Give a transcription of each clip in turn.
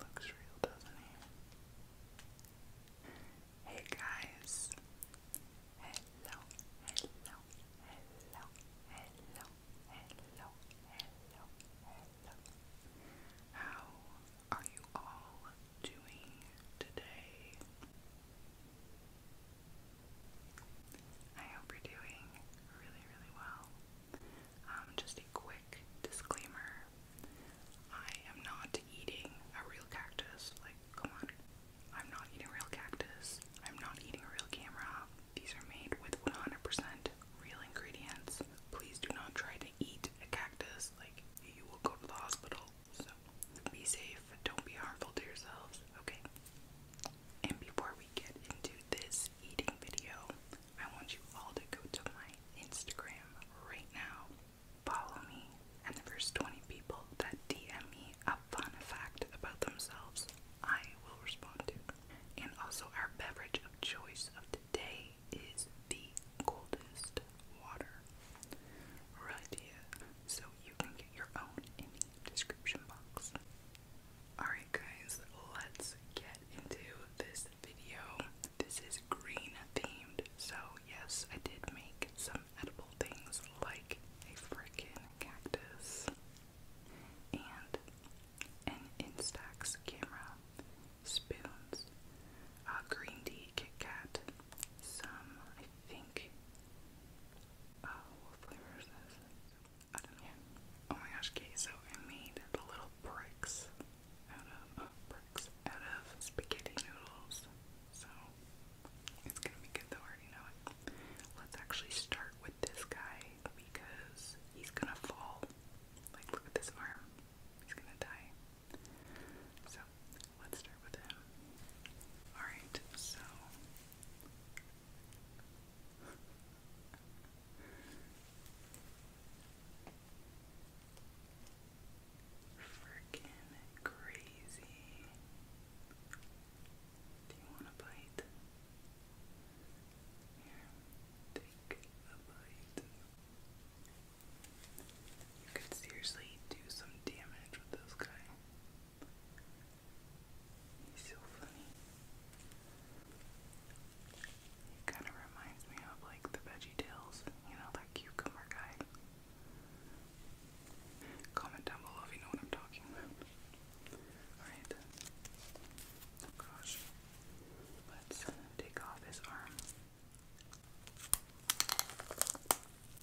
Looks Hey guys. Hello, hello, hello, hello, hello, hello, hello. How are you all doing today? I hope you're doing really, really well. Um, just a quick disclaimer I am not eating a real cactus. Like, come on. I'm not eating real cactus. I'm not eating real camera. These are made with 100% real ingredients. Please do not try to eat a cactus. Like, you will go to the hospital. So, be safe. Don't be harmful to yourselves. Okay? And before we get into this eating video, I want you all to go to my Instagram right now, follow me, and the first 20 people that DM me a fun fact about themselves, I will respond to. And also, our beverage of choice of today is the coldest water right here. So you can get your own in the description box. Alright, guys, let's get into this video. This is green themed, so yes, I did make some edible things like a freaking cactus and an Instax camera, spoons, uh, green tea Kit Kat, some, I think, Oh, oh my gosh, okay, so I made the little bricks out of, uh, bricks out of spaghetti noodles. So, it's gonna be good though, I know Let's actually start with this guy because he's gonna fall. Like, look at this arm. He's gonna die. So, let's start with him. Alright, so Freaking crazy. Do you want a bite? Here, take a bite. You could seriously do some damage with this guy. He's so funny. He kind of reminds me of like the Veggie Tales, you know, that cucumber guy. Comment down below if you know what I'm talking about. Alright. Oh gosh. Let's take off his arm.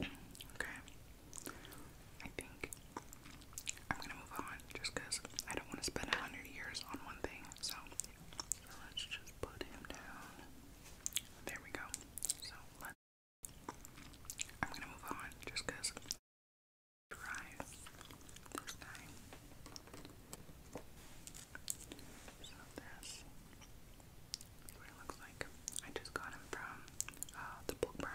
okay. I think I'm gonna move on just because I don't want to spend a hundred years on one thing. So, let's just put him down. There we go. So I'm gonna move on just because. Drive this So this what it looks like. I just got him from uh, the book barn.